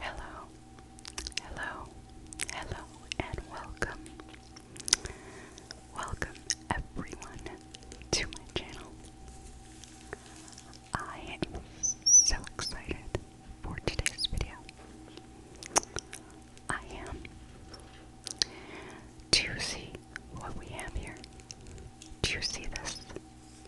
Hello, hello, hello, and welcome. Welcome, everyone, to my channel. I am so excited for today's video. I am. Do you see what we have here? Do you see this?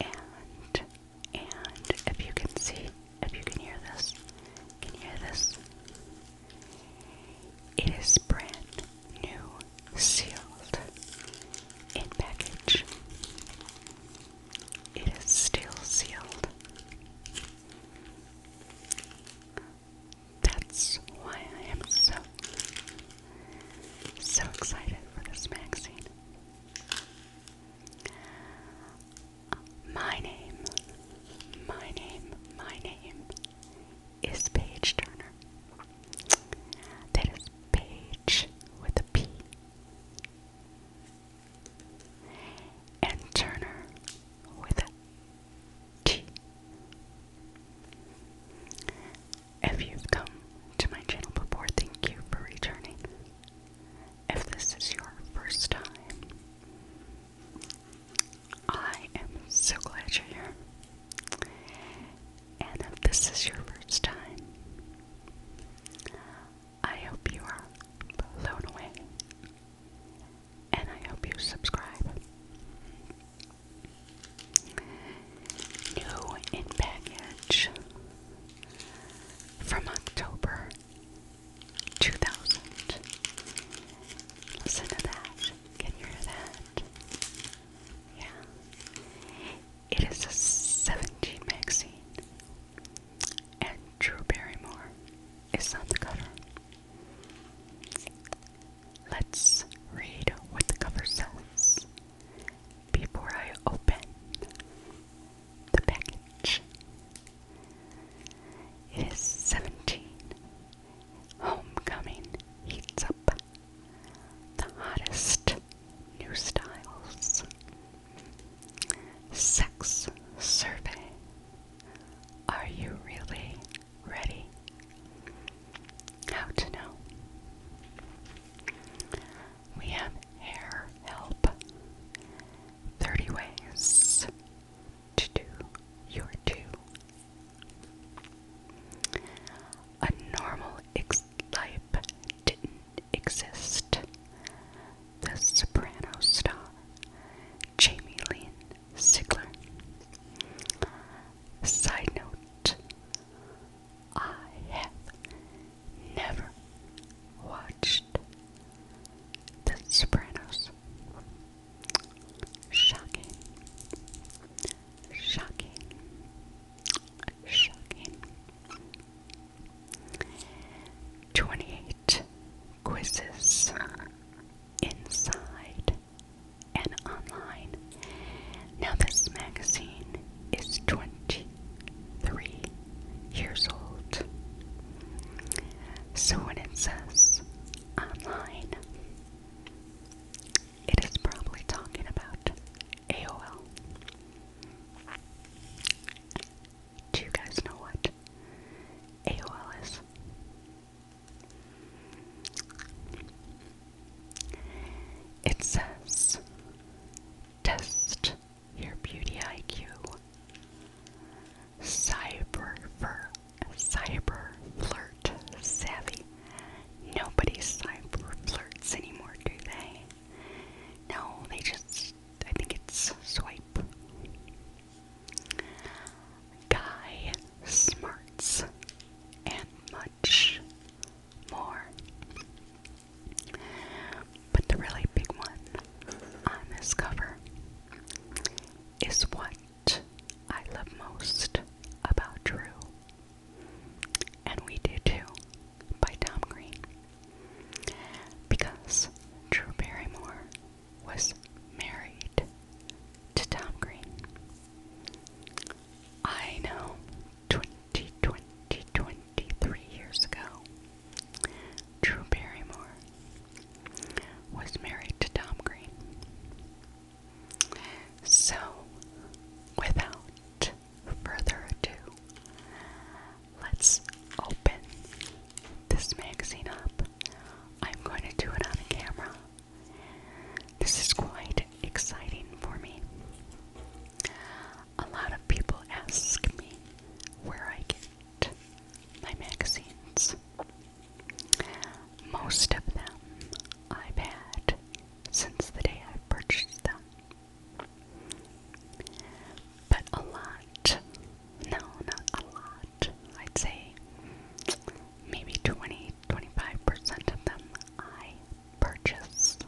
and and if you can see, if you can hear this, can hear this? It is brand new, sealed in package. It is still sealed. That's why I am so so excited for this magazine. My name, my name, my name is Paige Turner. That is Paige with a P. And Turner with a T. If you've come to my channel before, thank you for returning. If this is your first time, I am so glad you're here. And if this is your first time, I hope you are blown away. And I hope you subscribe. New in package from October 2000. Listen to that. Can you hear that? Yeah. It is a 17 magazine, and Drew Barrymore is on the cover. Let's read what the cover says before I open the package. It is 17. Homecoming heats up the hottest new styles. Sex survey. Are you really ready? How to know we have hair help 30 ways to do your two. A normal ex life didn't exist. The soprano star, Jamie Lynn Sigler. Side note I have never watched The Sopranos. Shocking. Shocking. Shocking. 28 quizzes inside and online. Now, this magazine is 20 three years old. So when it says online, it is probably talking about AOL. Do you guys know what AOL is? It says Test your beauty IQ. Cyber for cyber flirt savvy. Nobody cyber flirts anymore, do they? No, they just I think it's swipe. Guy smarts and much more. But the really big one on this cover is what I love most about Drew. And we do too by Tom Green. Because Drew Barrymore was married to Tom Green. I know 20, years ago, Drew Barrymore was married to Tom Green. So, without further ado, let's open this magazine up. I'm going to do it on the camera. This is quite exciting for me. A lot of people ask me where I get my magazines. Most of them I've had since the day I purchased them. But a lot, no, not a lot, I'd say maybe 20 25% of them I purchase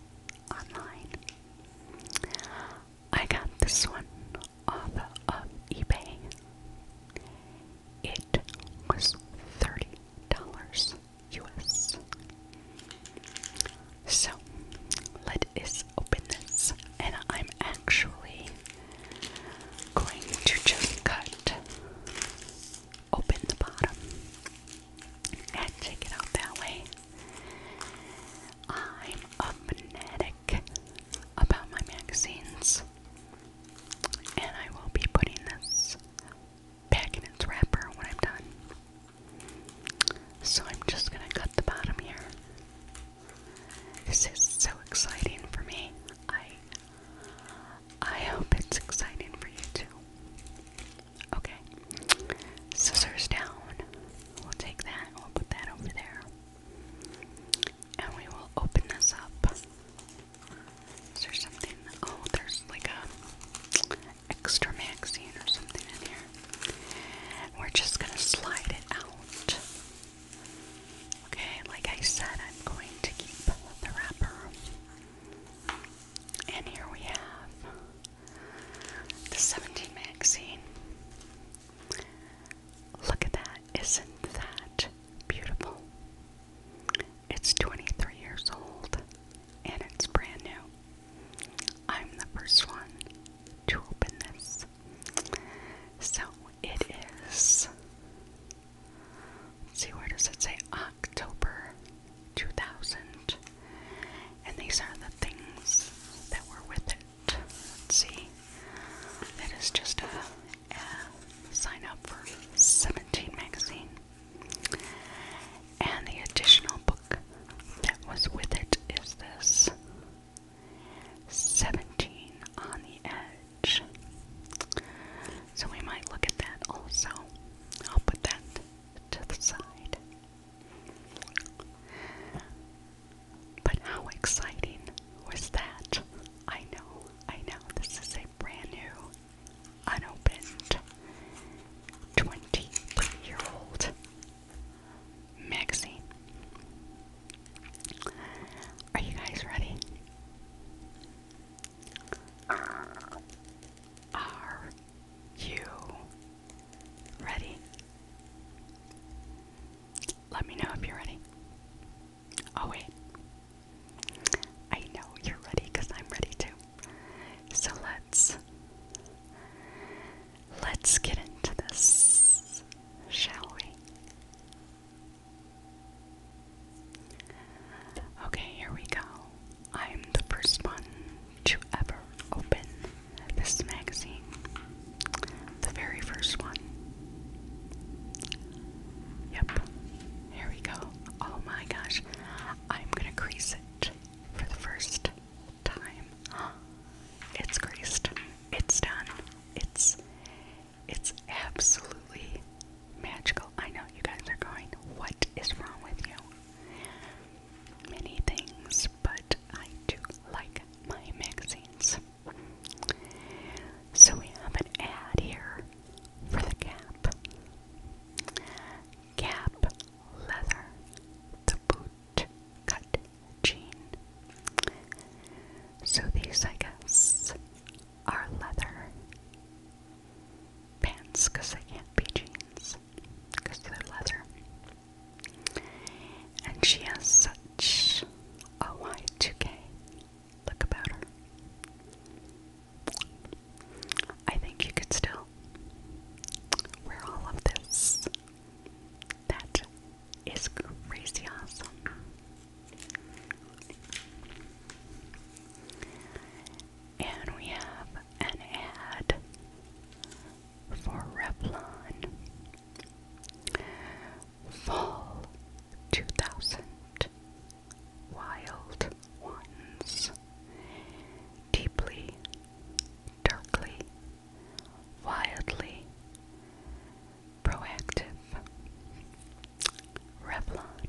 online. I got this one off of eBay. It was $30 US. So let us open this, and I'm actually going to just cut open the bottom and check it out that way. I'm a fanatic about my magazines, and I will be putting this back in its wrapper when I'm done. So I'm just gonna cut the bottom here. This is so exciting for me. I I hope it's exciting for you too. Okay. Scissors down. We'll take that we'll put that over there. And we will open this up. Is there something? Oh, there's like a extra magazine or something in here. We're just gonna slide it out. Okay, like I said, I'm going to keep the wrapper. And here we have the 17 magazine. Look at that. Isn't that beautiful? It's 23 years old and it's brand new. I'm the first one to open this. So it see, where does it say? October 2000. And these are the things that were with it. Let's see. That is just a sign up for 17 magazine. And the additional book that was with it is this 17 on the Edge. So we might look at that also. I'll put that to the side. But how exciting was that? I know, I know, this is a brand new, unopened 23 year old magazine. Are you guys ready? R you ready? Let me know if you're ready. Oh, wait. I know you're ready I'm ready too. So let's. Let's get into this, shall we? Okay, here we go. I'm the first one to ever open this magazine. The very first one. Yep. Here we go. Oh my gosh. I'm gonna crease it for the first time. It's creased. It's done. It's it's absolutely magical. I know you guys are going, what is wrong with you? many things, but I do like my magazines. So we have an ad here for the Gap. Gap leather, the boot cut jean. So these, I guess, are leather pants because they can't be jeans because they're leather. And she has such a Y2K look about her. I think you could still wear all of this. That is crazy awesome. And we have an ad for Revlon. Fall 2000 Wild Ones. Deeply, darkly, wildly, proactive. Revlon.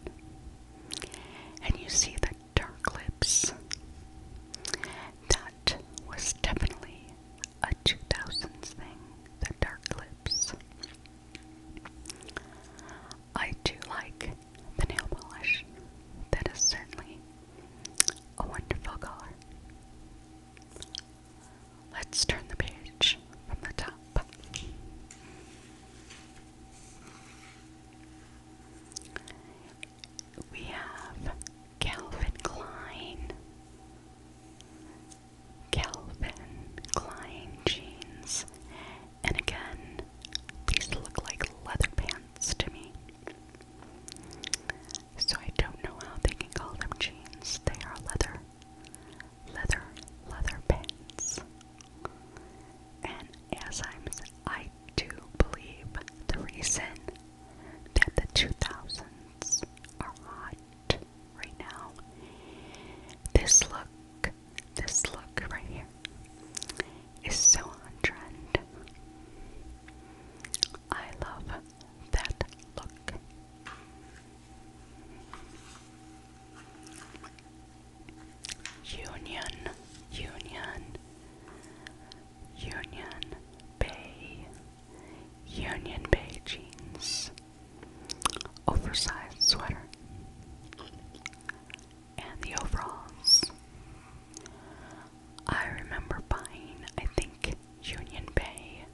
And you see the dark lips. That was definitely a 2000s thing, the dark lips. I do like the nail polish. That is certainly a wonderful color. Let's turn the page from the top we have Calvin Klein, Calvin Klein jeans, and again, these look like leather pants to me. So I don't know how they can call them jeans. They are leather, leather, leather pants. And as I'm, I to believe the reason that the 2000s are hot right now. This look, this look right here, is so on trend. I love that look. Union, union. Union Bay, Union Bay jeans, oversized sweater, and the overalls. I remember buying, I think, Union Bay.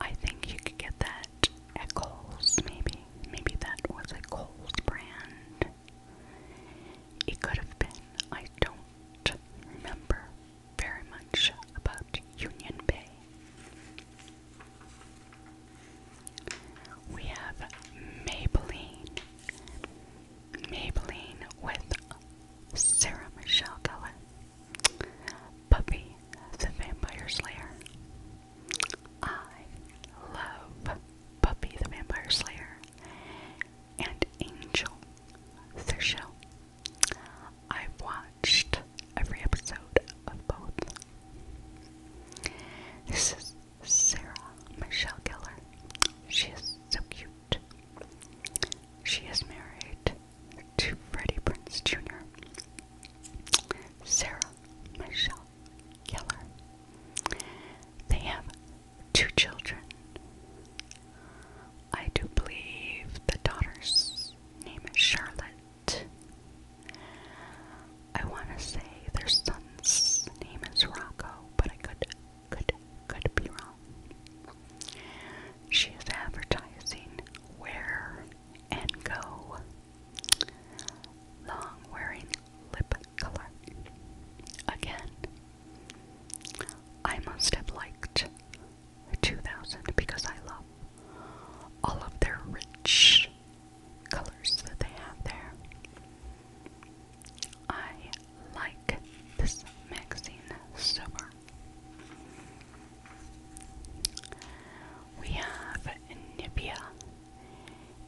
I think you could get that at Kohl's, maybe. Maybe that was a Kohl's brand. It could have been. I don't remember very much about Union Bay. We have Maybelline. Maybelline with Sarah Michelle Gellar. Puppy the Vampire Slayer. I love Buffy the Vampire Slayer and Angel Michelle, I've watched every episode of both. This is Sarah Michelle Gellar. She is so cute. She is married to Freddie Prince Jr. Sarah Michelle Gellar. They have two children. I do believe the daughter's name is Charlotte. I want to say their son's name is Rocco, but I could, could, could be wrong. She is advertising wear and go long wearing lip color. Again, I must have liked 2000 because I love all of their rich colors that they have there. I like this magazine so far. We have Nivea.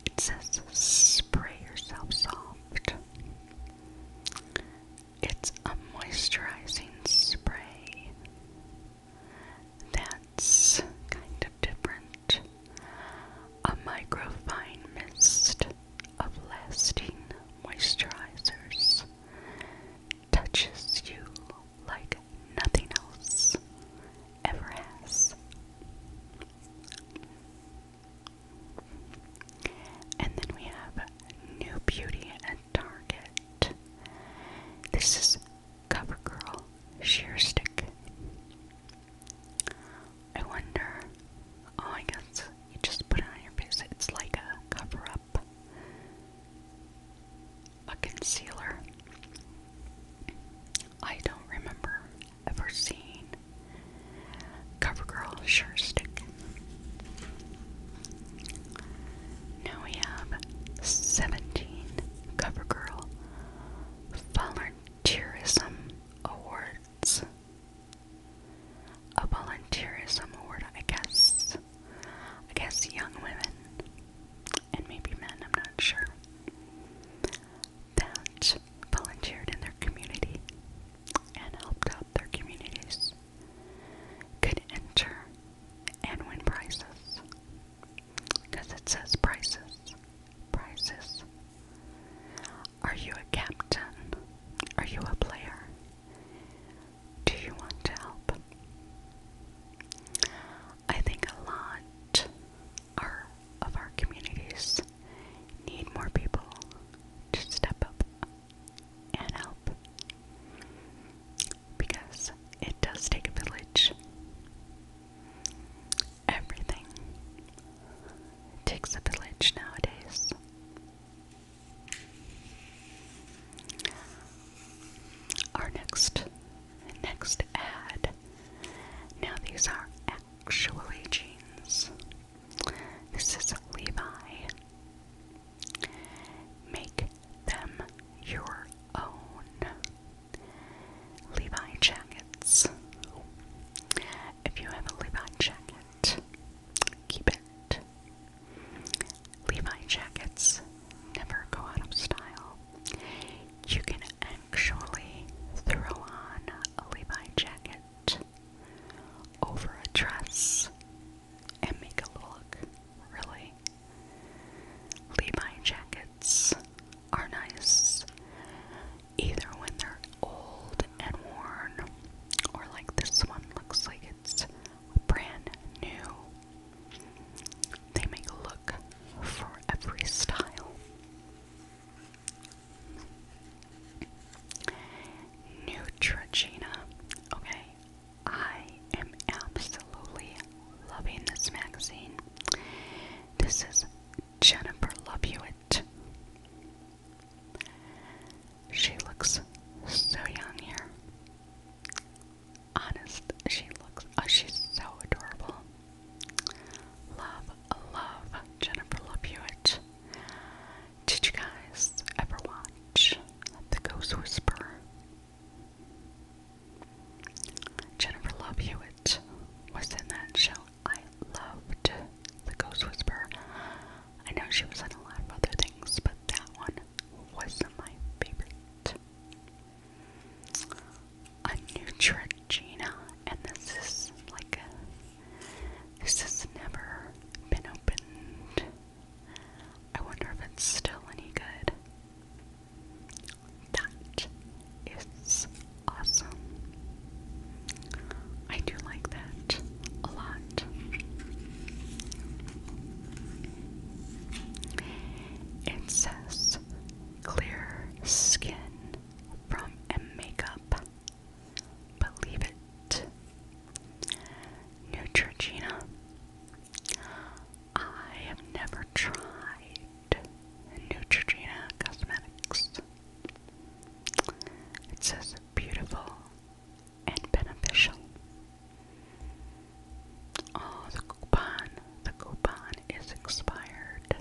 It says spray yourself soft. It's a moisturizing spray that's kind of different. A microfine mist of lasting moisturizers touches you like nothing else ever has. And then we have New Beauty at Target. This is CoverGirl Sheer Stick. I wonder, oh, I guess you just put it on your face. It's like a cover up, a concealer. I don't remember ever seeing CoverGirl Sure Stick. Now we have 17 CoverGirl Volunteerism Awards. A volunteerism award, I guess. I guess young women and maybe men, I'm not sure, that volunteered in their community and helped out their communities could enter and win prizes. Because it says prizes. Prizes. Are you a captain? Are you a player? Do you want to help? I think a lot are, of our communities need more people to step up and help because it does take a village. Everything takes a village nowadays. Our next next ad. Now these are actually jeans. This is Levi. Make them your own. Levi jackets. If you have a Levi jacket, keep it. Levi jackets never go out of style. You can actually throw on a Levi jacket over a dress and make a look really. Levi jackets are nice either when they're old and worn or like this one looks like it's brand new. They make a look for every style. Neutrogena. Okay, I am absolutely loving this magazine. This is Jennifer Lovewitt. She looks so young here. Honest, she looks. Oh, she's so adorable. Love, love Jennifer Lovewitt. Did you guys ever watch The Ghost Whisperer? Jennifer Love Hewitt was in that show. I loved The Ghost Whisperer. I know she was in a lot of other things, but that one was my favorite. A Neutrogena, and this is like this has never been opened I wonder if it's still any good. That is awesome. I do like that a lot. It says clear skin from a makeup. But it Neutrogena. I have never tried Neutrogena Cosmetics. It says beautiful and beneficial. Oh, the coupon. The coupon is expired.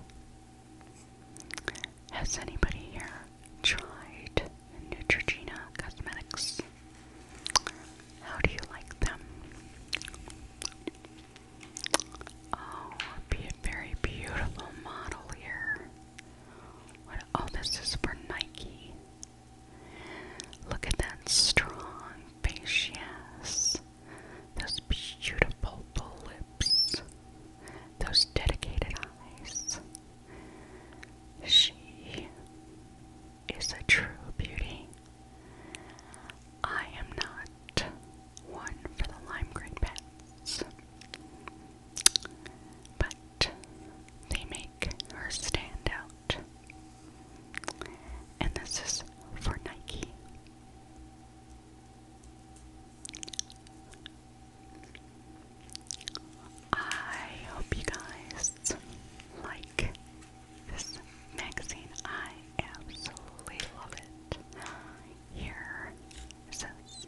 Has anybody here tried Neutrogena Cosmetics. How do you like them? Oh, a very beautiful model here. oh, this is for Nike. Look at that strong face she Those beautiful lips. Those dedicated eyes. She is a true beauty. I am not one for the lime green pets, but they make her stand out. And this is for Nike. I hope you guys like this magazine. I absolutely love it. Here says,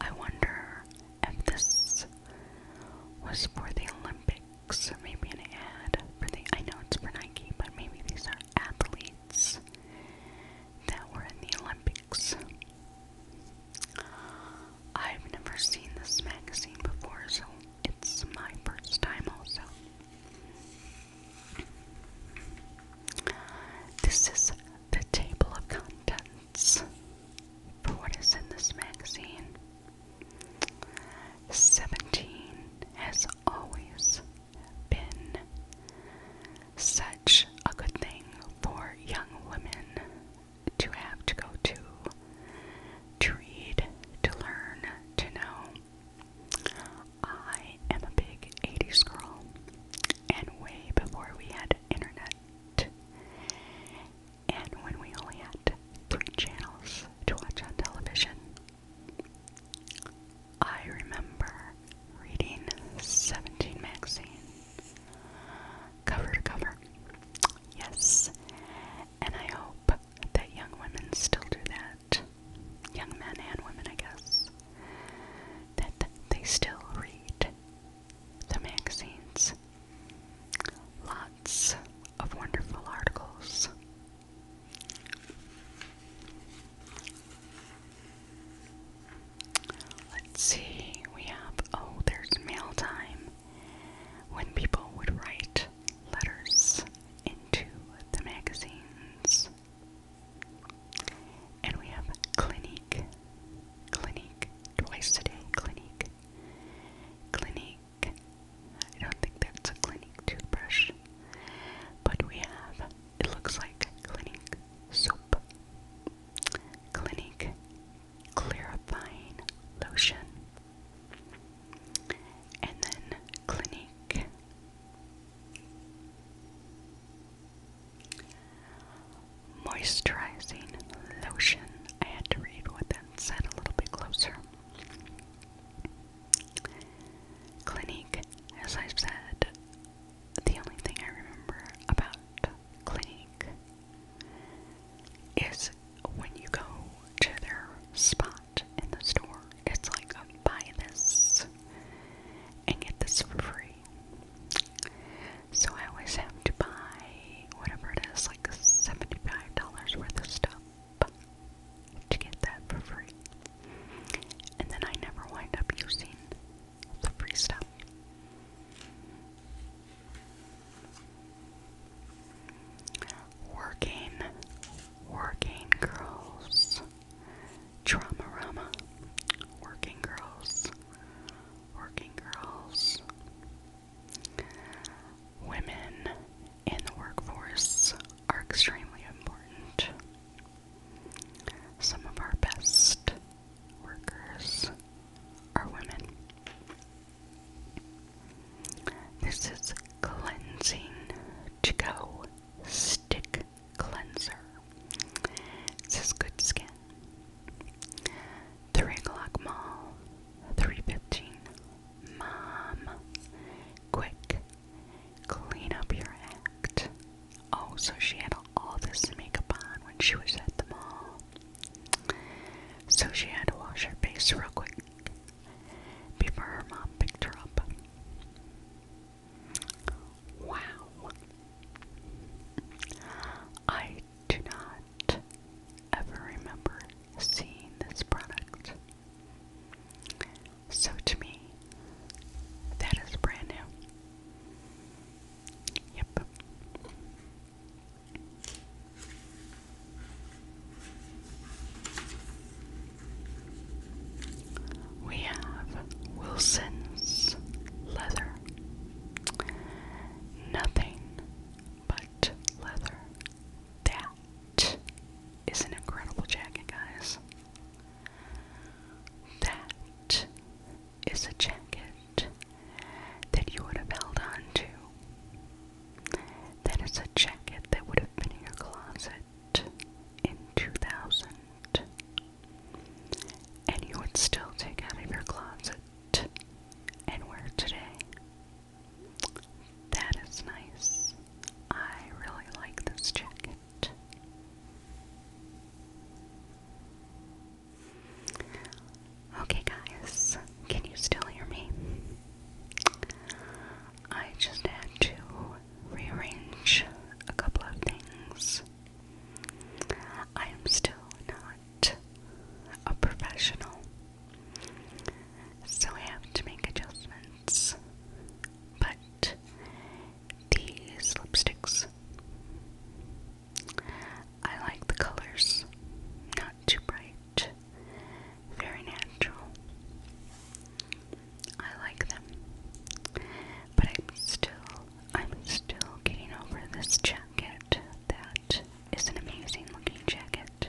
I wonder if this was for the Olympics maybe an ad for the, I know it's for Nike, but maybe these are athletes that were in the Olympics. I've never seen this magazine before, so it's my first time also. This is the table of contents for what is in this magazine. 17 has always been such a good thing for young women to have, to go to, to read, to learn, to know. I am a big 80s girl, and way before we had internet, and when we only had three channels to watch on television, I remember reading 17 magazine cover to cover. Yes, and I hope that young women still do that. Young men and women, I guess. That they still read the magazines. Lots of wonderful articles. Let's see, we have, oh, there's mail time when people would write letters into the magazines. And we have Clinique, clinic twice a day, Clinique, Clinique. I don't think that's a clinic toothbrush, but we have, it looks like Clinique soap, Clinique clarifying lotion. And then Clinique. Moisturizing lotion. I had to read what that said a little bit closer. Clinique, as I've said, the only thing I remember about Clinique is when you go to their spot in the store, it's like um, buy this and get this for free. So I always have to buy whatever it is, like $75 worth of stuff to get that for free. And then I never wind up using the free stuff. Working, working girls. Trauma Rama. Working girls. Working girls. Women in the workforce are extremely important. Some of our best workers are women. This is Cleansing To Go Stick Cleanser. This is good skin. 3 o'clock mom. 315. Mom, quick, clean up your act. Oh, so she had all this makeup on when she was at the mall. So she had to wash her face real quick before her mom picked her up. Wow. I do not ever remember seeing this product. So to me, that is brand new. Yep. We have Wilson's leather. Nothing but leather. That is an incredible jacket, guys. That is a jacket that you would have held on to. That is a jacket that would have been in your closet in 2000. And you would still take out of your closet and wear today. That is nice. I really like this jacket. Okay, guys, can you still hear me? I just had to rearrange a couple of things. I am still not a professional, so I have to make adjustments. But these lipsticks, I like the colors, not too bright very natural. I like them. But I'm still I'm still getting over this jacket that is an amazing looking jacket.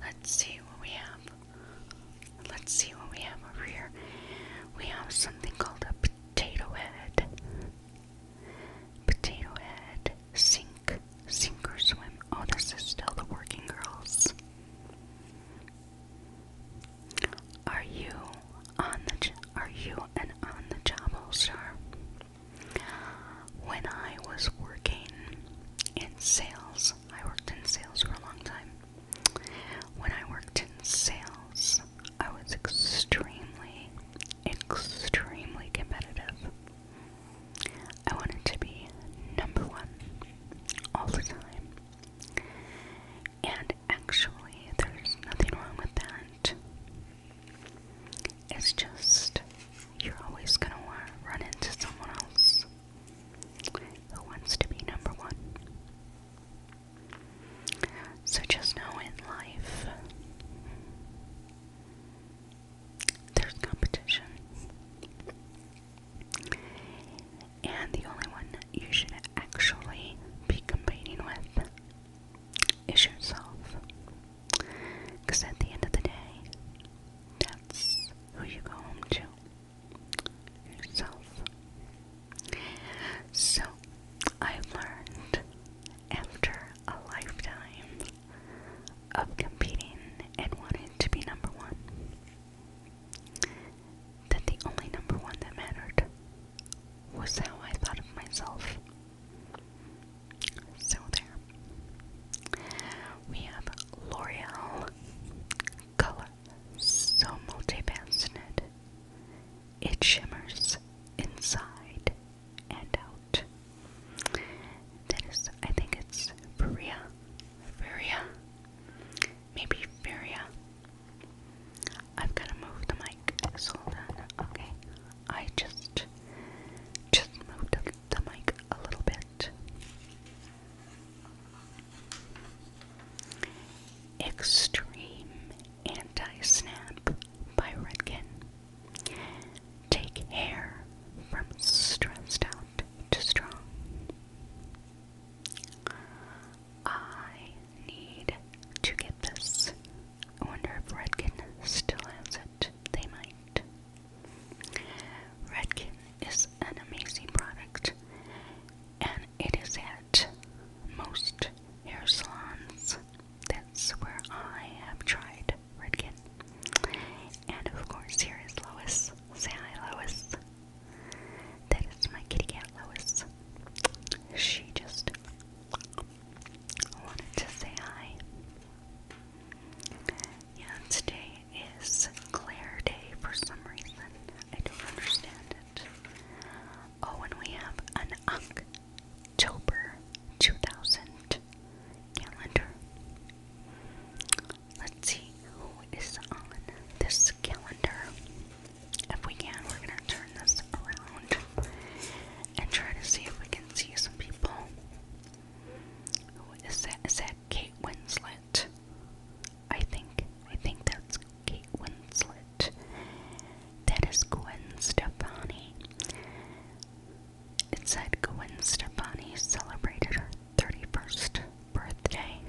Let's see what we have. Let's see what we have over here. We have something called a Potato Head. Potato Head. Sink. Sink or swim. Oh, this is still the working girls. Are you on the are you an on the job all star? When I was working in sales, I worked in sales for a long time. When I worked in sales, I was extremely, extremely competitive. I wanted to be number one all the time. And actually, there's nothing wrong with that. It's just you're always going to run into someone else who wants to be number one. So just know in life there's competition. And the only one you should actually be competing with is yourself. Because at the end of the day, that's who you go home to yourself. So I learned after a lifetime of competing and wanting to be number one that the only number one that mattered was how I thought of myself. So there. We have L'Oreal Color so multi multifaceted. It shimmers inside and out. That is, I think it's Feria. Feria. Maybe Feria. i am going to move the mic. So then, okay. I just, just moved the, the mic a little bit. Extreme Anti-Snap by Redken. Take hair from stressed out to strong. I need to get this. I wonder if Redken still has it. They might. Redken is an amazing product and it is at most hair salons. That's where I have tried Redken. And of course, here is Lois. Say hi, Lois. That is my kitty cat, Lois. She just wanted to say hi. Yeah, today is Claire Day for some reason. I don't understand it. Oh, and we have an October 2000 calendar. Let's see who is on this calendar. If we can, we're going to turn this around and try to see if we can see some people. Who is that? Is that Kate Winslet? I think. I think that's Kate Winslet. That is Gwen Stefani. It said Gwen Stefani celebrated her 31st birthday,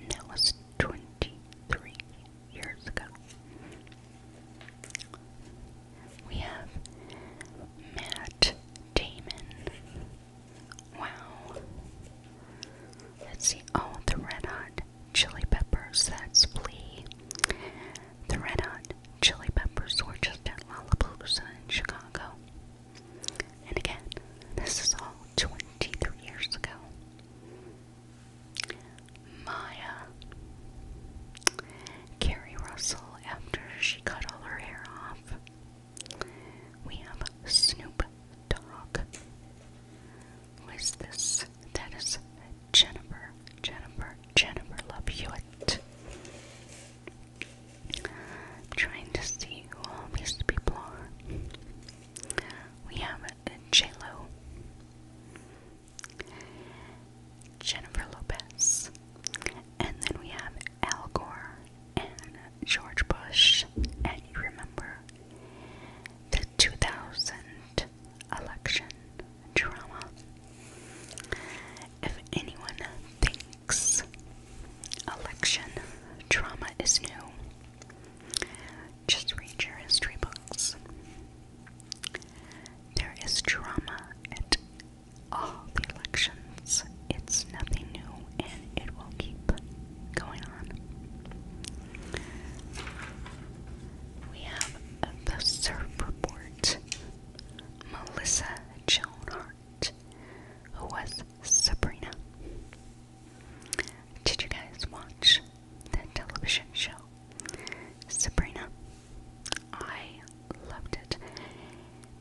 and that was 23 years ago. We have Matt Damon. Wow. Let's see. Oh, the Red Hot Chili Peppers, that's Flea. The Red Hot Chili Peppers were just at Lollapalooza in Chicago. And again, this is all 23 years ago. Maya. Carrie Russell after she cut all her hair off. We have Snoop Dogg. Who is this? That is Jennifer, Jennifer, Jennifer Love I'm trying to see who all these people are. We have j Jennifer Lopez, and then we have Al Gore and George Bush, and you remember 2000 election drama. If anyone thinks election drama is new, just read your history books. There is drama at all the elections. It's nothing new and it will keep going on we have the Surf Report. Melissa Joan Hart, who was Sabrina. Did you guys watch the television show Sabrina? I loved it.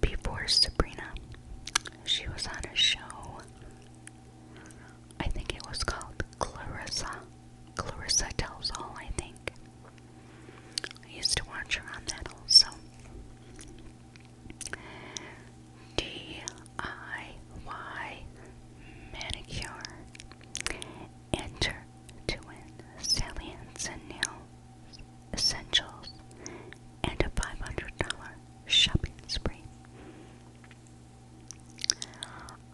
Before Sabrina, she was on a show I think it was called Clarissa. Clarissa Tells All, I think. I used to watch her on that also. DIY Manicure. Enter to win salience nail essentials and a $500 shopping spree.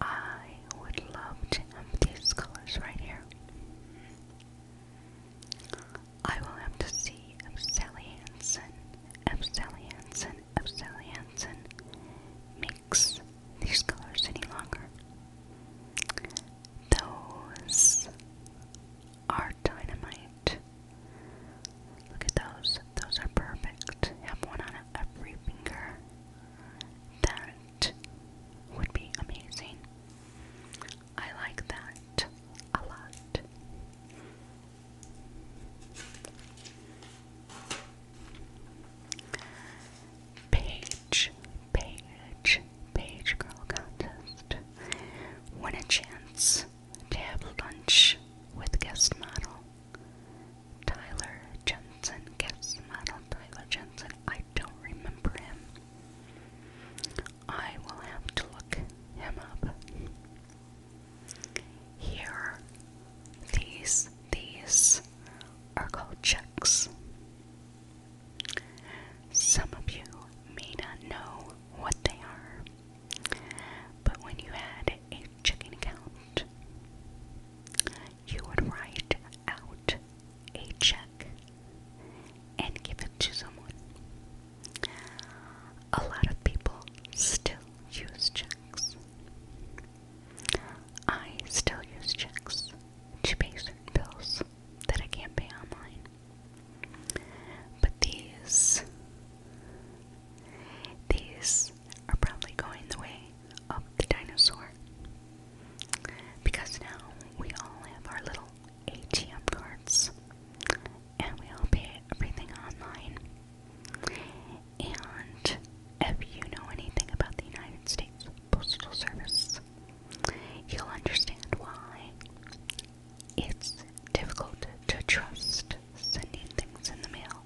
I would love to empty these colors right here. I will have to see if Sally Hansen, if Sally Hansen, if Sally Hansen makes these colors any longer. Those are dynamite. Look at those. Those are perfect. Have one on every finger. That would be amazing. I like that a lot. Page, page, page girl contest. Win a chance to have lunch with guest model Tyler Jensen, guest model Tyler Jensen. I don't remember him. I will have to look him up. Here, these, these are called checks. Some of you may not know what they are, but when you had a checking account. You would write out a check and give it to someone. A lot of people still use checks. I still use checks to pay certain bills that I can't pay online. But these these are probably going the way of the dinosaur. Because now we all have our little ATM cards and we all pay everything online. And if you know anything about the United States Postal Service, you'll understand why it's difficult to trust sending things in the mail.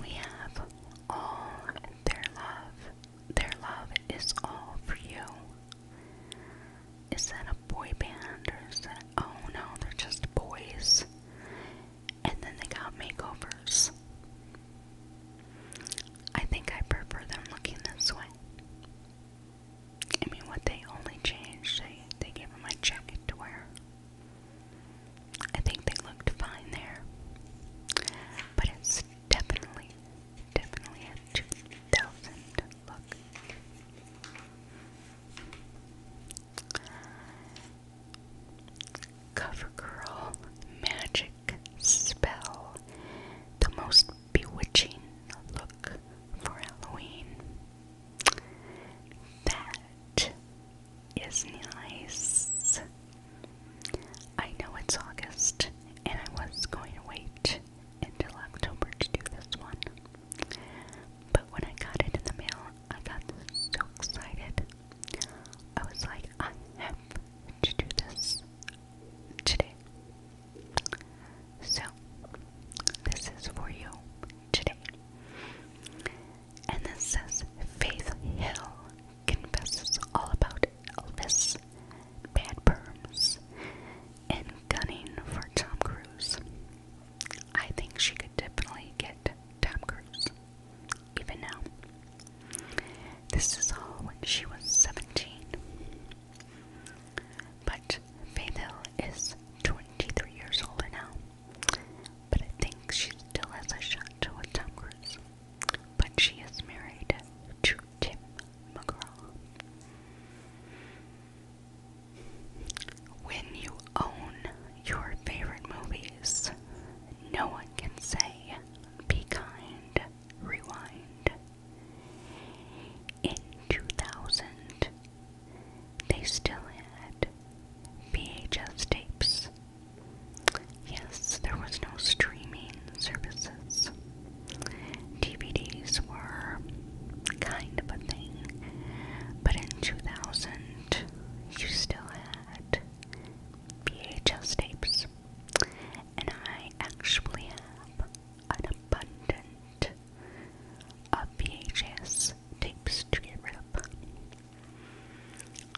We have all their love. Their love is all for you. Is that a boy band or is that oh no, they're just boys. And then they got makeovers. I think I prefer them looking this way. I mean, what they only changed, they, they gave him my jacket to wear. I think they looked fine there. But it's definitely, definitely a 2000 look. CoverGirl Magic Spell. The most bewitching look for Halloween. That it is nice. I know it's August, and I was going to wait until October to do this one. But when I got it in the mail, I got so excited. I was like, I have to do this today. So, this is for you today. And this says Faith Hill confesses all about Elvis, bad perms, and gunning for Tom Cruise. I think she could definitely get Tom Cruise, even now. This is all when she was 17. But Faith Hill is 23 years older now. But I think she still has a shot to a Tom But she is married to Tim McGraw. When you own your favorite movies, no one can say, Be kind, rewind. In 2000, they still had VHS tapes. Yes, there was no streaming services. DVDs were kind of a thing, but in 2000, you still had VHS tapes. And I actually have an abundant of VHS tapes to get rid of.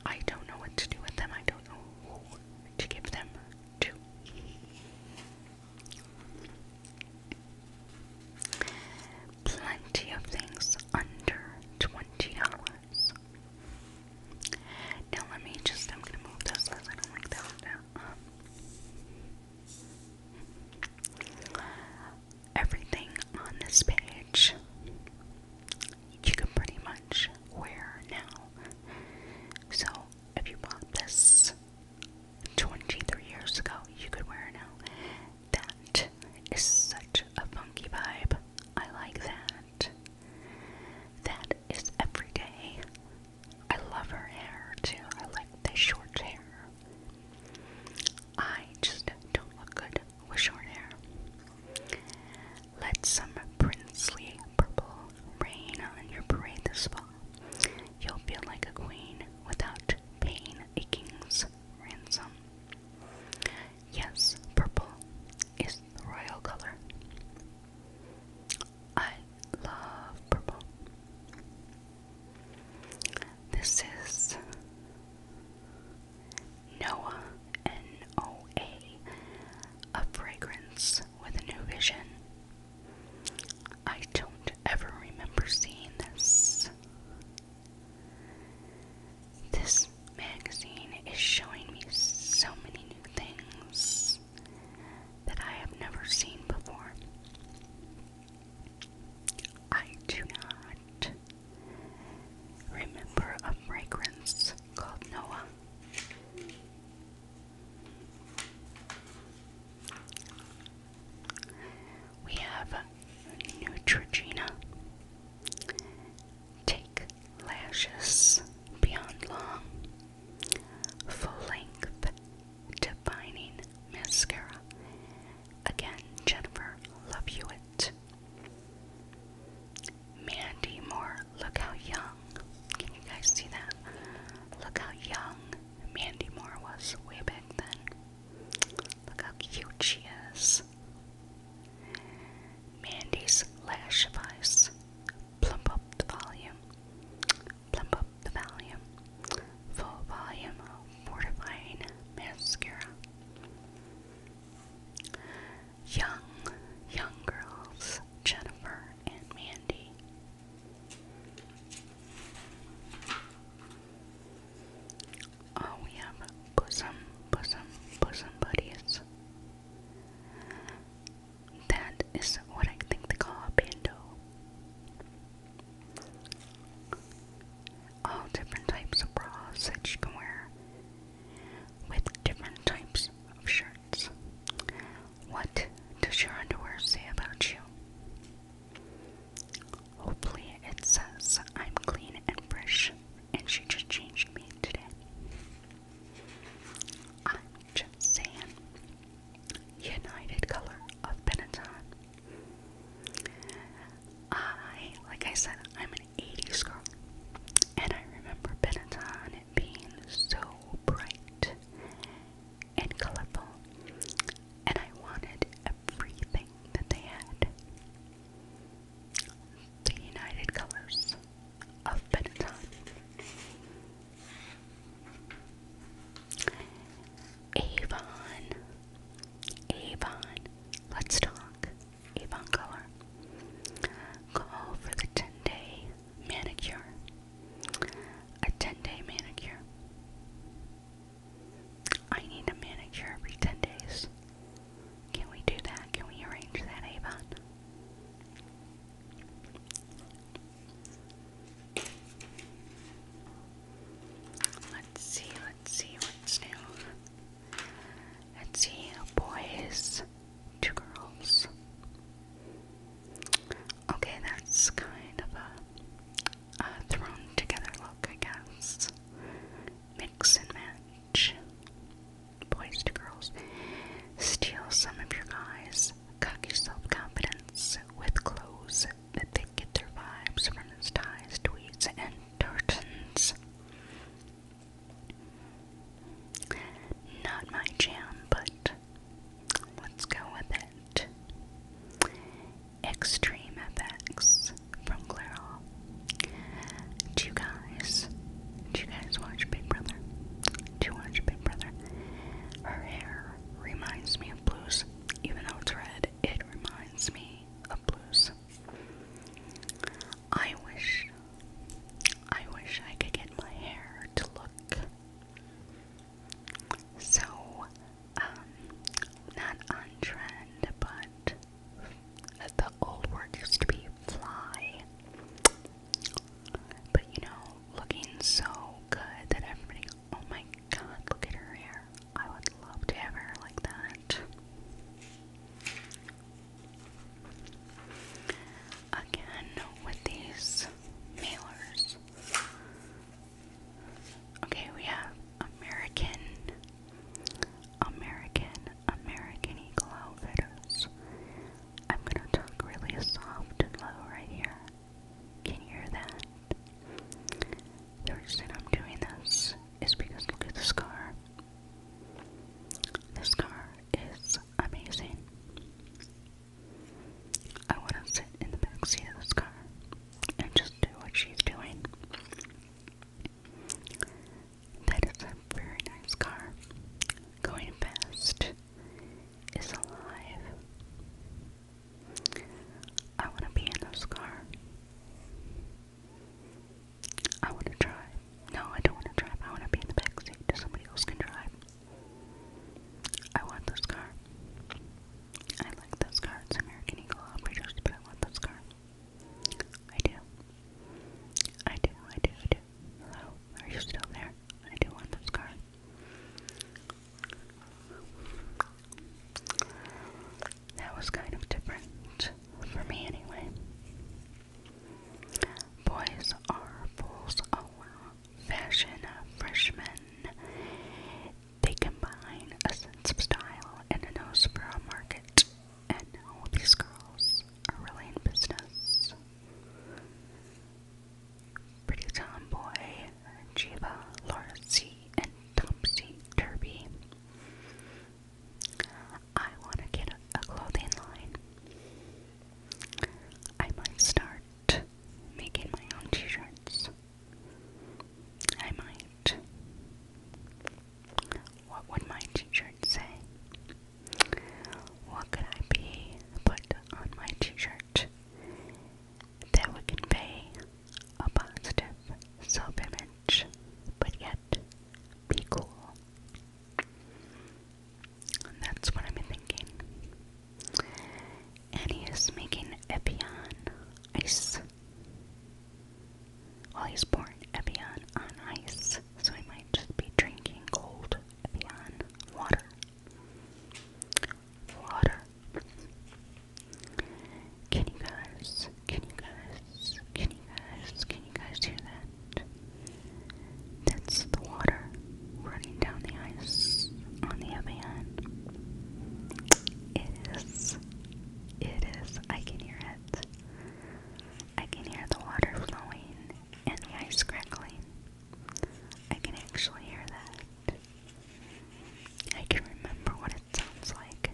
I don't know what to do with them. I don't know to give them to. Plenty of things under twenty dollars. Now let me just I'm gonna move this because I don't like that everything on this page you can pretty much wear now. So if you bought this 23 years ago, you could wear now. That is such a funky vibe. I like that. That is everyday. I love her hair too. I like the short hair. I just don't look good with short hair. Let some princely purple rain on your parade this You'll feel like a queen without paying a king's ransom. Yes, purple is the royal color. I love purple. This is Noah, N-O-A, a fragrance with a new vision. I don't ever remember seeing this. This magazine is showing me so many new things that I have never seen before. I do not remember a fragrance called Noah. We have Neutrogena, Take Lashes Beyond Long, Full Length Defining Mascara, Again, Jennifer, love you it. Mandy Moore, look how young. Can you guys see that? Look how young Mandy Moore was way back then. Look how cute she is. Mandy's lash advice. Plump up the volume. Plump up the volume. Full volume fortifying mascara. Young, young girls, Jennifer and Mandy. Oh, we have bosom, bosom, bosom buddies. That is what I think they call bando all different types of bras that you can wear with different types of shirts. What does your underwear say about you? Hopefully, it says I'm clean and fresh, and she just changed me today. I'm just saying. United Color of Benetton I, like I said, I'm an 80s girl, and I remember Benetton being so bright and colorful, and I wanted everything that they had. The United Colors of Benetton. Avon, Avon, let's talk. Avon Color. Go for the 10 day manicure. A 10 day manicure. I need a manicure every 10 days. Can we do that? Can we arrange that, Avon? Let's see, let's see what's new. Let's see, boys, two girls. Okay, that's kind of a, thrown together look, I guess. Mix and match. Boys to girls. Steal some of your guys. Cock self confidence with clothes that they get their vibes from his ties, tweets, and Turtons. Not my jam, but let's go with it. Extreme FX from Claire Do you guys, do you guys watch Big Brother? Do you watch Big Brother? Her hair reminds me of blues, even though it's red. It reminds me of blues. I wish, I wish I could get my hair to look so, um, not on trend, but the old word used to be fly. But you know, looking so good that everybody, oh my god, look at her hair. I would love to have her like that. Again, with these mailers. Okay, we have American, American, American Eagle Outfitters. I'm gonna talk really soft and low right here. Can you hear that? The reason I'm doing this is because look at the scar. This car is amazing. I want to sit in the back of this car and just do what she's doing. That is a very nice car. Going fast is alive. I want to be in this car. I want to drive. No, I don't want to drive. I want to be in the back seat so somebody else can drive. I want this car. I like this car. It's American Eagle Operators, but I want this car. I do. I do, I do, I do. Hello? Are you still there? I do want this car. That was kind of different for me anyway. Boys are fools oh well. Fashion freshmen. They combine a sense of style and a nose for a market. And all these girls are really in business. Pretty Tomboy, Jiva, Laura C, and Topsy Derby. I want to get a, clothing line. I might start making my own t shirts. I might. What would my t shirt say? What could I be put on my t shirt that would convey a self image? much, but yet be cool. that's what I'm thinking. And he is making Evian ice. While he's pouring Evian on ice, so he might just be drinking cold Evian water. Water. Can you guys, can you guys, can you guys, can you guys hear that? That's the water running down the ice on the Evian. It is, it is, I can hear it. I can hear the water flowing and the ice crackling. I can actually hear that. I can remember what it sounds like.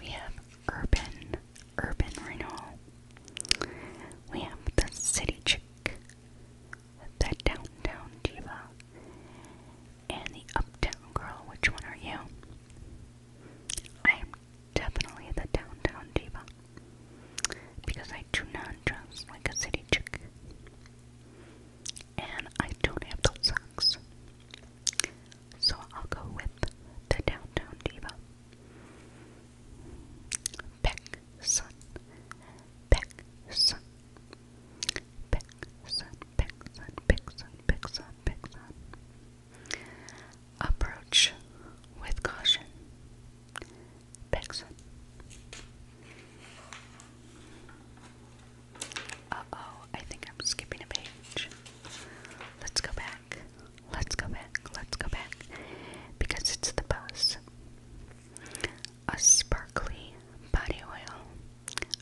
We have Urban, Urban Renewal. We have the City Chick, the Downtown Diva, and the Uptown Girl. Which one are you? I am definitely the Downtown Diva because I do not dress like a city chick. And I don't have those socks so I'll go with the Downtown Diva. Peck Sun, Peck Sun, Peck Sun, Peck Sun, Peck Sun, Peck Sun, Peck Sun. Approach with caution, Peck Sun. Uh oh, I think I'm skipping a page. Let's go back. Let's go back. Let's go back. Because it's the buzz. A sparkly body oil,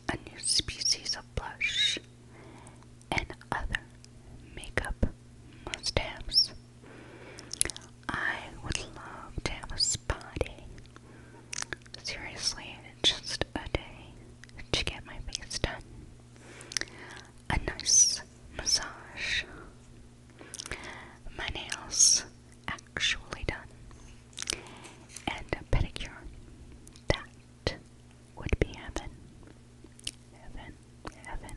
a new species of blush, and other makeup must haves. I would love to have a spa day. Seriously, just a day to get my face done a nice massage. My nails actually done. And a pedicure. That would be heaven. Heaven, heaven.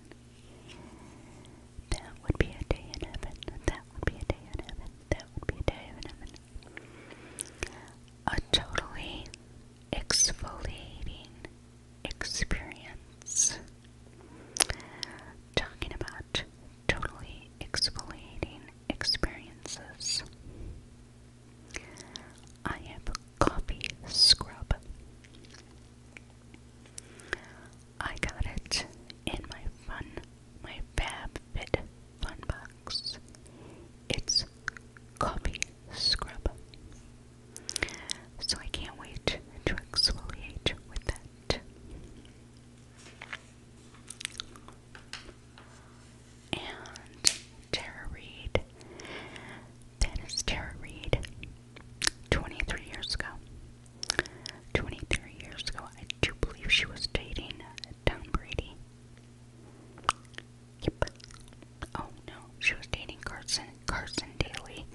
That would be a day in heaven. That would be a day in heaven. That would be a day in heaven. A totally exfoliating experience. Talking about totally exfoliating experiences. I have coffee scrub. I got it in my fun, my fab fit fun box. It's Rose Coffee Scrub. So I can't wait to exfoliate with that. And Tara Reid. That is Tara Reid. 23 years ago. 23 years ago. I do believe she was dating Tom Brady. Yep. Oh no, she was dating Carson Carson Daly,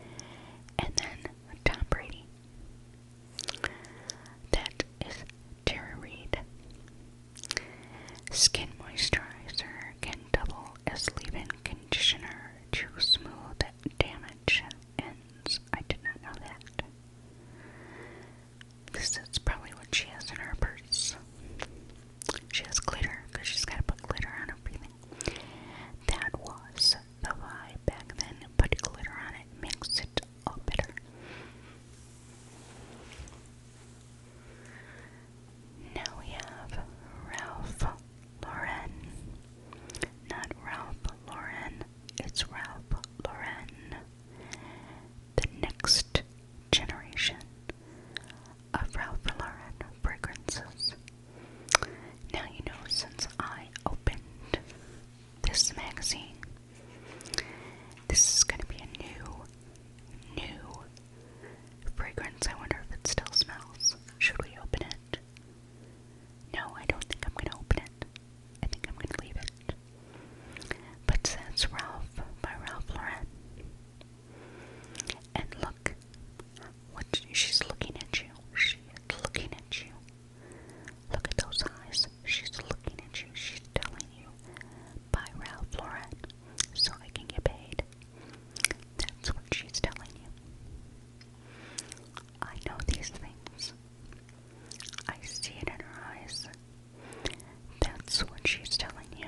and then Tom Brady. That is Tara Reid. Skin moisturizer can double as leave-in conditioner to smooth damage ends. I did not know that. This is probably what she has in her purse. She has glitter because she's got to put glitter on everything. That was the vibe back then. Put glitter on it makes it all better. Now we have Ralph Lauren. Not Ralph Lauren, it's Ralph Lauren. The next generation of Ralph Lauren fragrances. Now, you know, since I opened this magazine, this is going to be a new, new fragrance. I wonder if it still smells. Should we open it? No, I don't think I'm going to open it. I think I'm going to leave it. But since Ralph by Ralph Lauren, and look, what she's looking at you. She looking at you. Look at those eyes. She's looking at you. She's telling you, buy Ralph Lauren so I can get paid. That's what she's telling you. I know these things. I see it in her eyes. That's what she's telling you.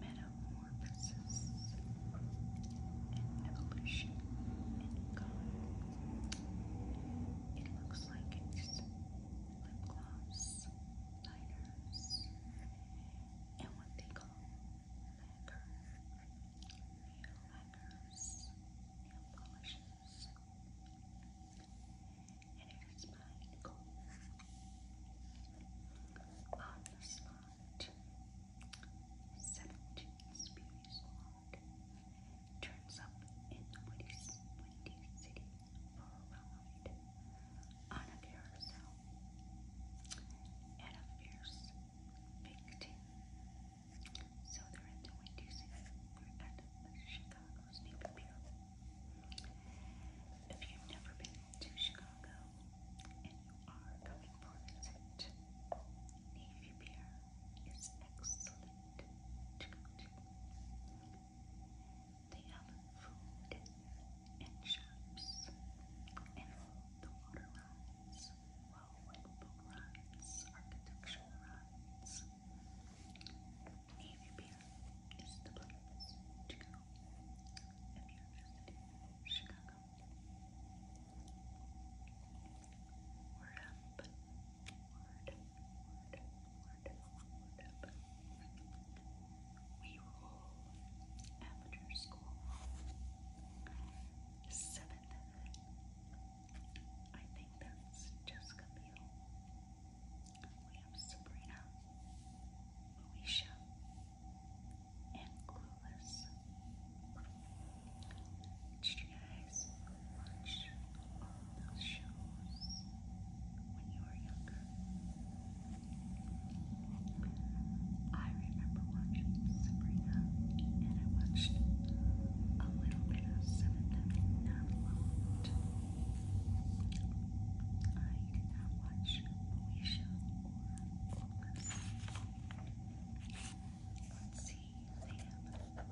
metamorphosis, and evolution in color. It looks like it's lip gloss, liners, and what they call lacquer, nail lacquers, nail polishes. And it is mine gold. On the slide, Bond. Seventeen Spears turns up in the windy, city for a ride on a carousel and a fierce victim. So they're in the windy city. we Chicago's Navy Pier. If you've never been to Chicago and you are coming for a Navy Pier is excellent to They have food and shops and the water rides, well, boat architectural rides. Navy Pier is the place to go if you're visiting Chicago. Word up. Word up. Word Word Word up. We roll amateur school. Seventh. I think that's Jessica Biel. We have Sabrina. Moesha, and Clueless. Did you guys watch those shows when you were younger? I remember watching Sabrina, and I watched a little bit of Seventh Heaven, I did not watch Moesha. Let's see, Sam, Share, Murray, Classic, Whatever, Earl,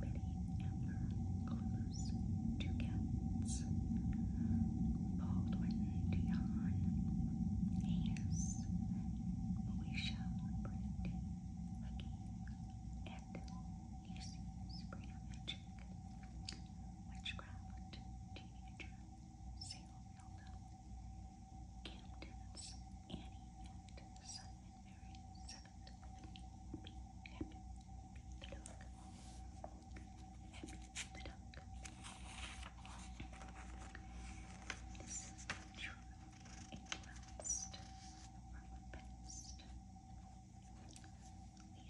Betty, Amber, Close, Two Cats, Baldwin, Dion, Hayes, Moesha, Brandy, Lucky, and Lucy, Sabrina, witchcraft, teenager, Salem, Hilda, Camden's Annie, and Simon Mary, seventh Libby, Happy the Duck, Happy the Duck. This is truly a blast from the past. It we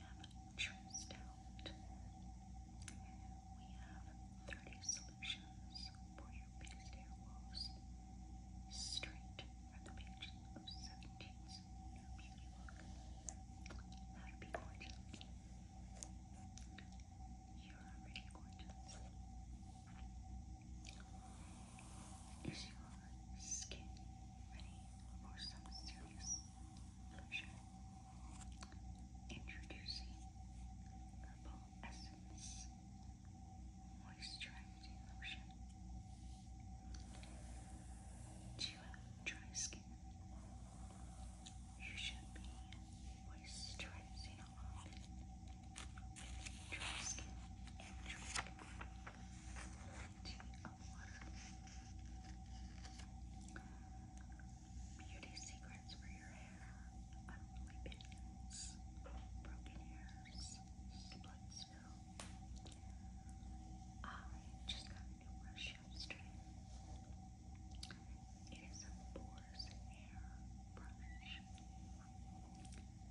have True Stout. We have 30 solutions for your biggest hair loss. Straight from the pages of 17's new beauty be gorgeous. You're already gorgeous. Is your skin ready for some serious pleasure? Introducing Herbal Essence Moisturizing Lotion. Do you have dry skin? You should be moisturizing often with dry skin dry skin. you hot water. Beauty secrets for your hair. Unruly pins, broken hairs, split ah, spill. I just got a new brush yesterday. It is a Boar's Hair brush.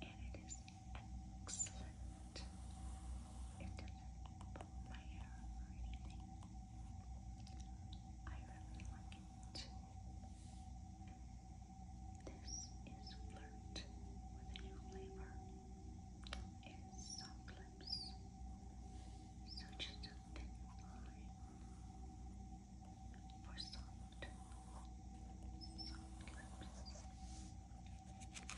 And it is Excellent. It doesn't pull my hair or anything. I really like it. This is Flirt with a new flavor. It's soft lips. So just a thin for soft, soft lips.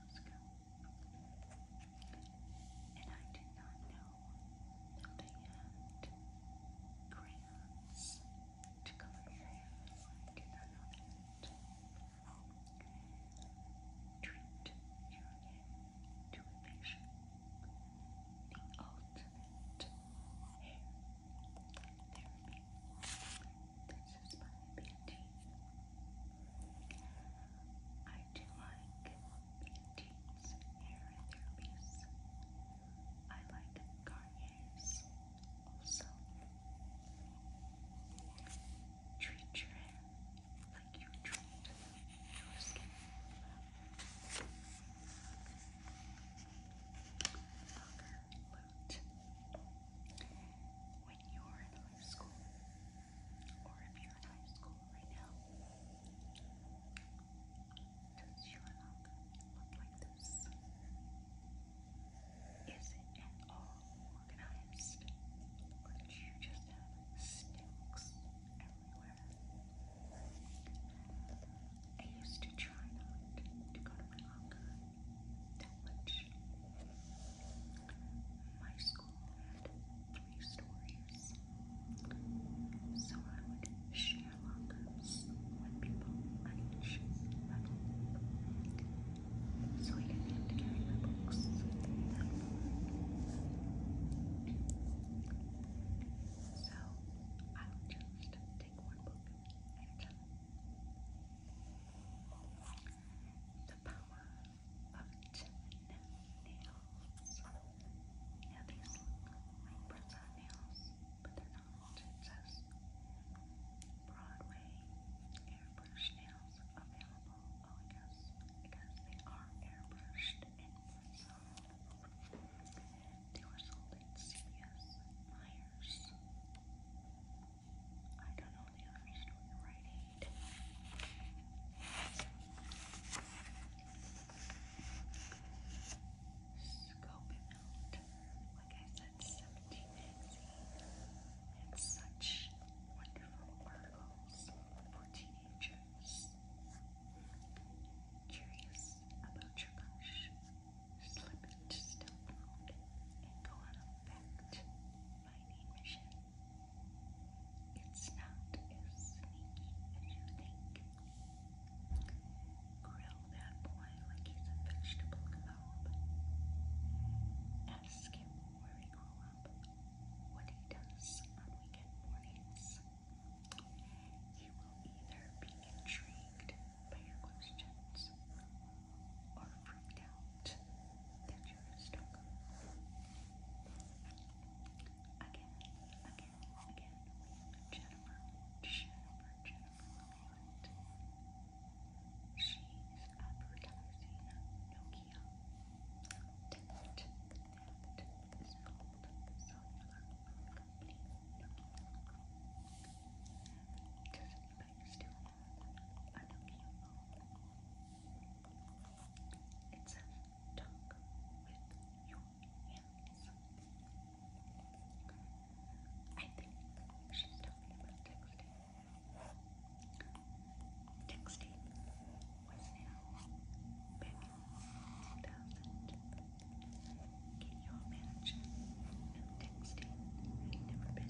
years ago. And I did not know that they to color your hair. did not know that. Treat your hair to a facial. The ultimate hair therapy. This is by BT. I do like BT's therapies. I like Garnier's also. Treat your like you treat your skin loot when you're in high school, or if you're in high school right now. Does your look look like this? Is it at all organized? Or you just have sticks everywhere? I used to try not to go to my locker which my school had three stories. So I would share lockers with people at each So I didn't have my books So I would just take one book at a time the power of ten nails. Now these look like press nails, but they're not. It says Broadway airbrush nails available. Oh, I guess because they are airbrushed and press They were sold at CVS Myers. I don't know the other store, Rite Aid. Scope it out. Like I said, 17 magazine such wonderful articles for teenagers. Curious about your crush? Slip it and go on a fact finding mission. It's not as sneaky as you think. Grill that boy like he's a vegetable globe. Ask him where he grew up, what he does on weekend mornings. He will either be intrigued by your questions or freaked out that you're a Again, again, again, Jennifer, Jennifer, Jennifer She's advertising Nokia but still talk with your hands. I think she's talking about texting. Texting was now back Can you imagine? texting never been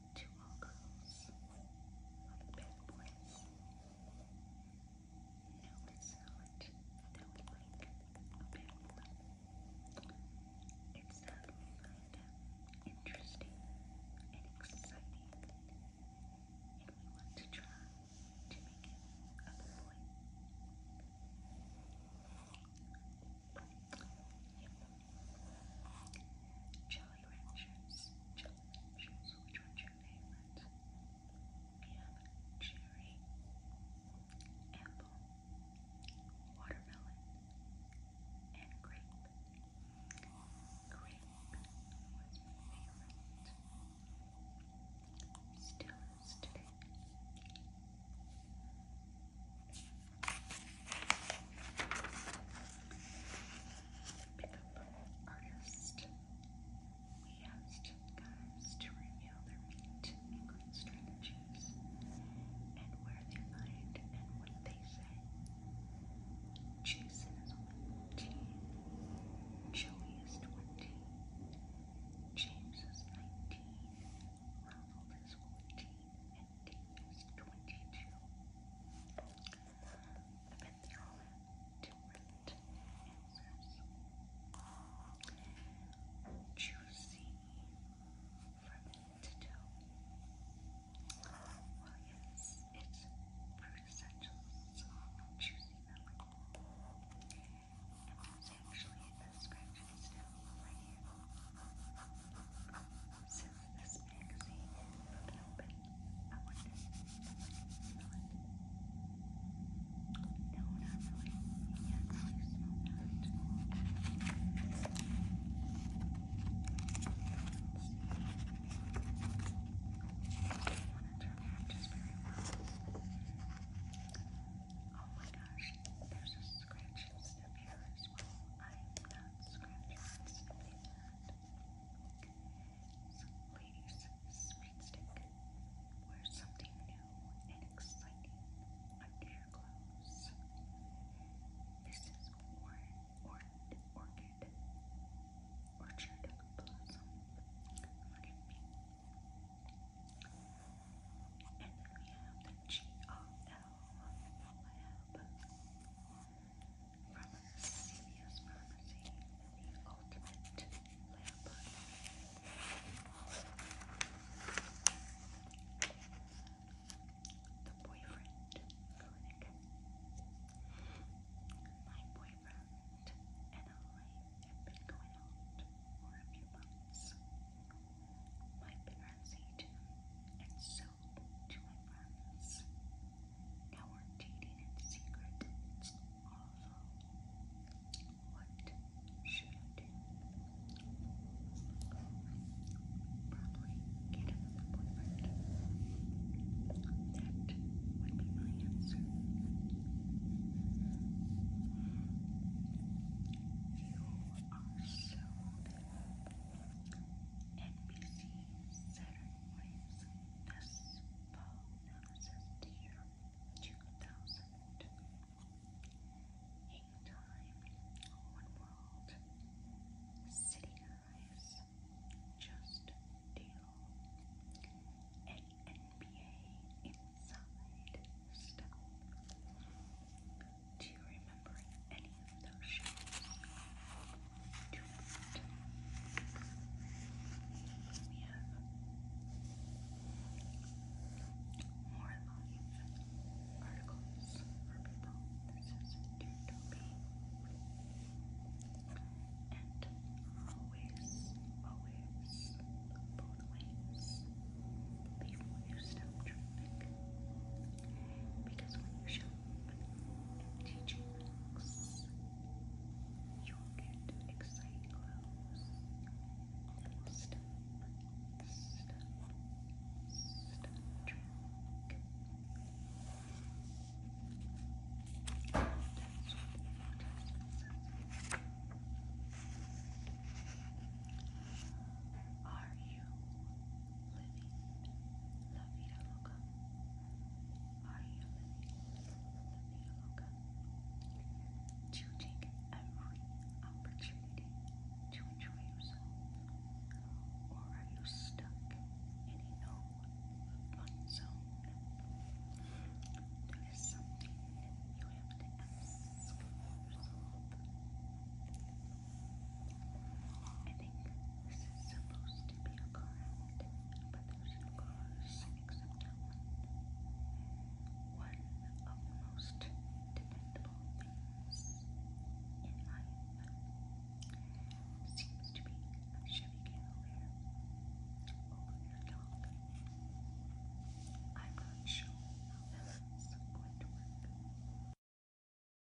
to all girls of bad boys. No, it's not that we like a bad boy. It's that we find them interesting and exciting, and we want to try to make it a boy. Jelly Ranchers. Which one's your favorite? We cherry, apple, watermelon, and grape. Grape was my favorite. Still is today. Pickup artist. We asked guys to reveal their meat strategies and where they find and what they say. Jason is 14, Joey is 20, James is 19, Ronald is 14, and he 22. I bet they all different answers. Juicy for me to do. Well, yes, fruit essentials, juicy melon. And there's actually a scratch and stamp on my since this magazine open, I I can smell it. not really. You can't really smell that. Oh my gosh, there's a scratch and sniff here as well. i scratch and Stick, wear something new and exciting under your clothes. This is or or orchid, orchard blossom. Look me. And then we have the G O L lab from CVS Pharmacy, the ultimate lab. The boyfriend My boyfriend and I have been going out for a few months. My parents hate him, and so so to my friends. Now we're dating in secret. What should I do? Probably get another boyfriend. That would be my answer. You are so NBC Saturn Waves This Analysis to Year Time, One World, City Guys, Just Deal, and NBA Inside Stuff. Do you remember any of those shows? Do not. have more live articles for people. This is Dutopia. And always, always, both ways, before you stop traffic. Because when you show Teach relax. You'll get exciting glows. Step, step, step, drink. Are you living la vida loca? Are you living la vida loca? Choosing every opportunity to enjoy yourself? Or are you stuck in a no fun zone? There is something you have to ask yourself. I think this is supposed to be a car but there's no cars except that one. One of the most dependable things in life seems to be a Chevy Cavalier over oh, your dog. I'm not sure how this is going to work.